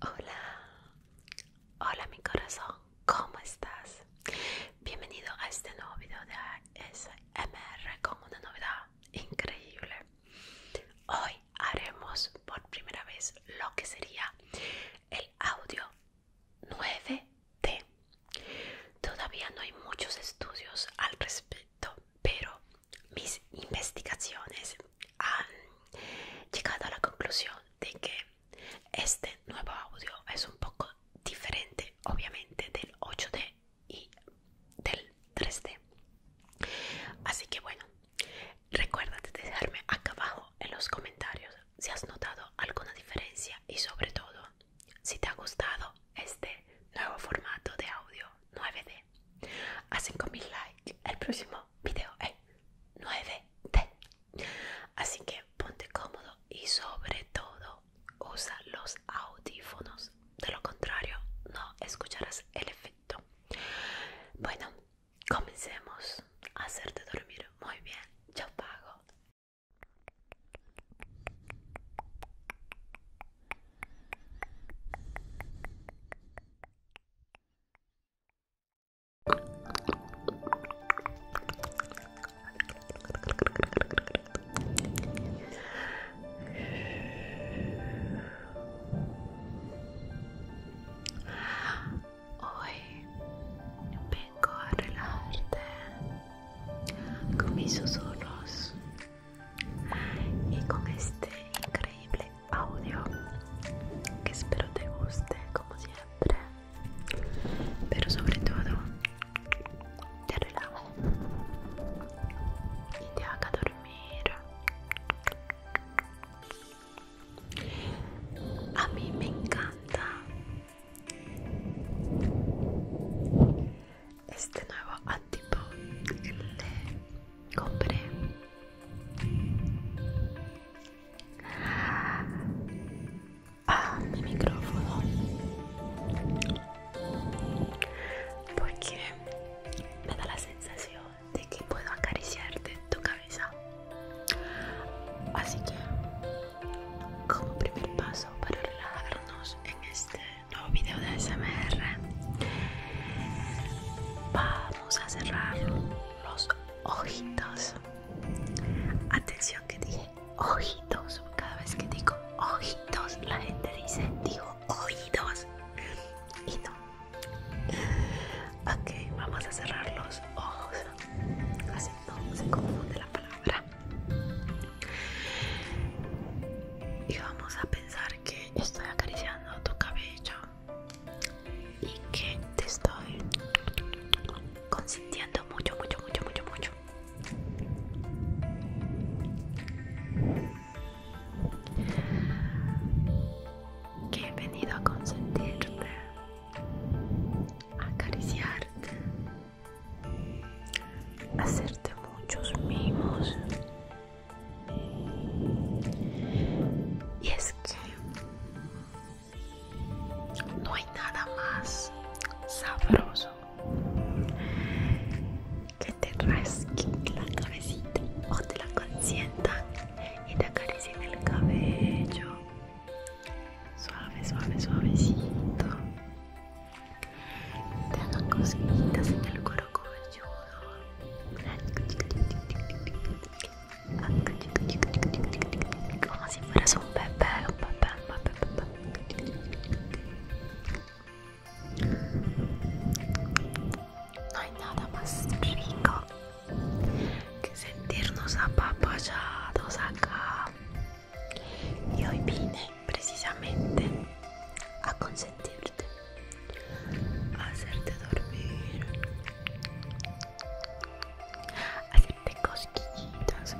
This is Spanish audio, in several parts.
Hola, hola mi corazón, ¿cómo estás? Bienvenido a este nuevo video de ASMR con una novedad increíble. Hoy haremos por primera vez lo que sería el audio 9D. Todavía no hay muchos estudios al respecto, pero mis investigaciones han llegado a la conclusión de que este nuevo audio es un poco diferente obviamente del 8D y del 3D así que bueno recuerda de dejarme acá abajo en los comentarios si has notado alguna diferencia y sobre todo si te ha gustado este nuevo formato de audio 9D a 5000 likes el próximo video en 9D. Así que ponte cómodo y sobre todo usa los audífonos. De lo contrario, no escucharás el efecto. Bueno, comencemos a hacerte dormir muy bien. Yo pago. Hoy vengo a relajarte con mis susurros y con este increíble audio que espero te guste como siempre pero sobre todo te relaje y te haga dormir a mí me encanta este nuevo átipo que le compré a mi micrófono porque me da la sensación de que puedo acariciarte tu cabeza así que como primer paso para relajarnos en este nuevo video de SMR vamos a cerrar los ojitos. Atención que dije ojitos. Cada vez que digo ojitos, la gente dice digo oídos. Y no. Ok, vamos a cerrar los ojos. Así no se confunde la palabra. Y vamos a pensar que estoy acariciando tu cabello y que te estoy consentiendo mucho, mucho, mucho, mucho, mucho. Que he venido a consentirte, a acariciarte, hacerte muchos mimos y es que no hay nada más sabroso que te resquite la cabecita o te la consientan y te acaricien el cabello. Suave, suave, suavecito. Te hagan cosquillitas en el cuero cabelludo. Como si fueras un bebé, un bebé, un bebé, un bebé. No hay nada más rico que sentirnos apapachados acá. Y hoy vine precisamente a consentirte. hacerte dormir, hacerte cosquillitas.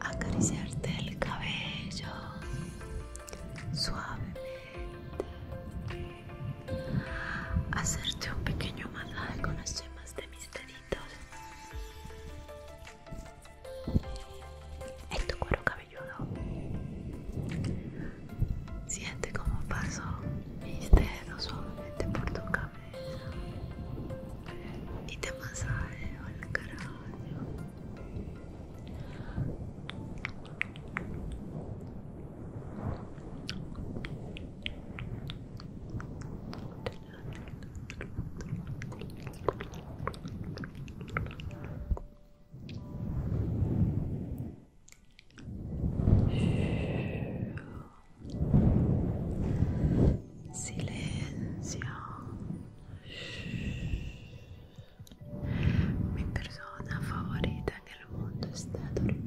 Acariciarte el cabello suavemente, hacerte un pequeño masaje con las yemas de mis en tu cuero cabelludo. Siente como paso mis dedos suavemente por tu cabeza y te masajeo el cabello Silenzio. Mi persona favorita nel mondo sta dormendo.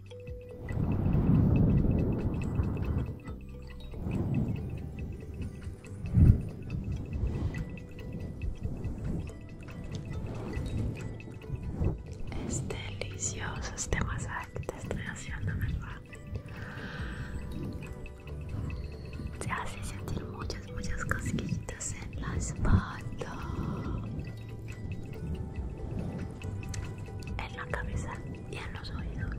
Es delicioso este masaje que te estoy haciendo, ¿verdad? Te hace sentir muchas, muchas cosquillitas en las patas en la cabeza y en los oídos.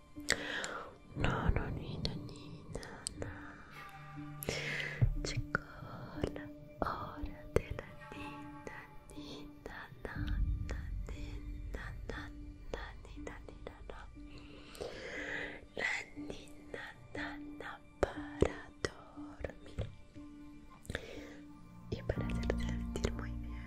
No, no, ni, ni, na. Llegó la hora de la nina, ni, La nina, para dormir. Y para hacer sentir muy bien.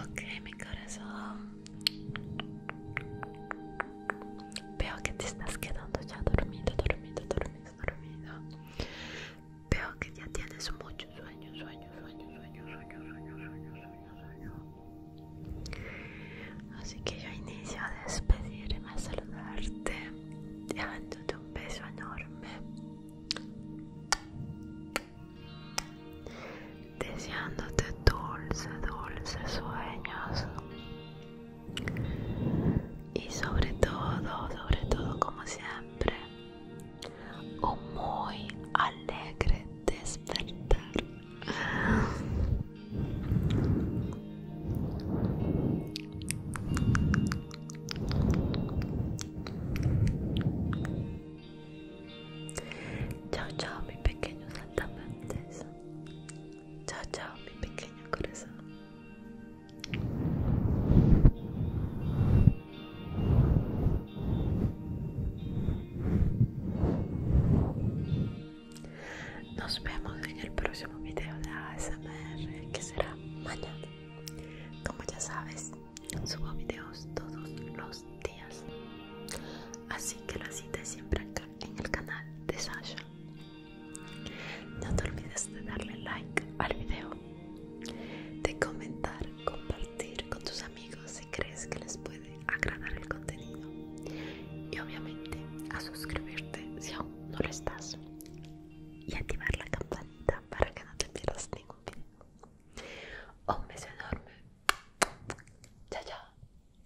Ok, mi corazón. Veo que te estás quedando ya dormido, dormido, dormido, dormido. Veo que ya tienes muchos sueños, sueños, sueños, sueños, sueños, sueños, sueños, sueños Así que yo inicio a despedirme, a saludarte, dejándote un beso enorme. Deseándote dulce, dulce sueños y sobre todo, sobre todo como siempre, un muy alegre despertar. Chao, chao, mi pequeño saltamontes. Chao, chao, mi pequeño corazón. Nos vemos en el próximo video de ASMR que será mañana. Como ya sabes, subo videos todos los días. Así que la cita siempre acá en el canal de Sasha. No te olvides de darle like al video, de comentar, compartir con tus amigos si crees que les puede agradar el contenido y obviamente a suscribirte si aún no lo estás y activar la campanita para que no te pierdas ningún video. Un beso enorme. Chao, chao.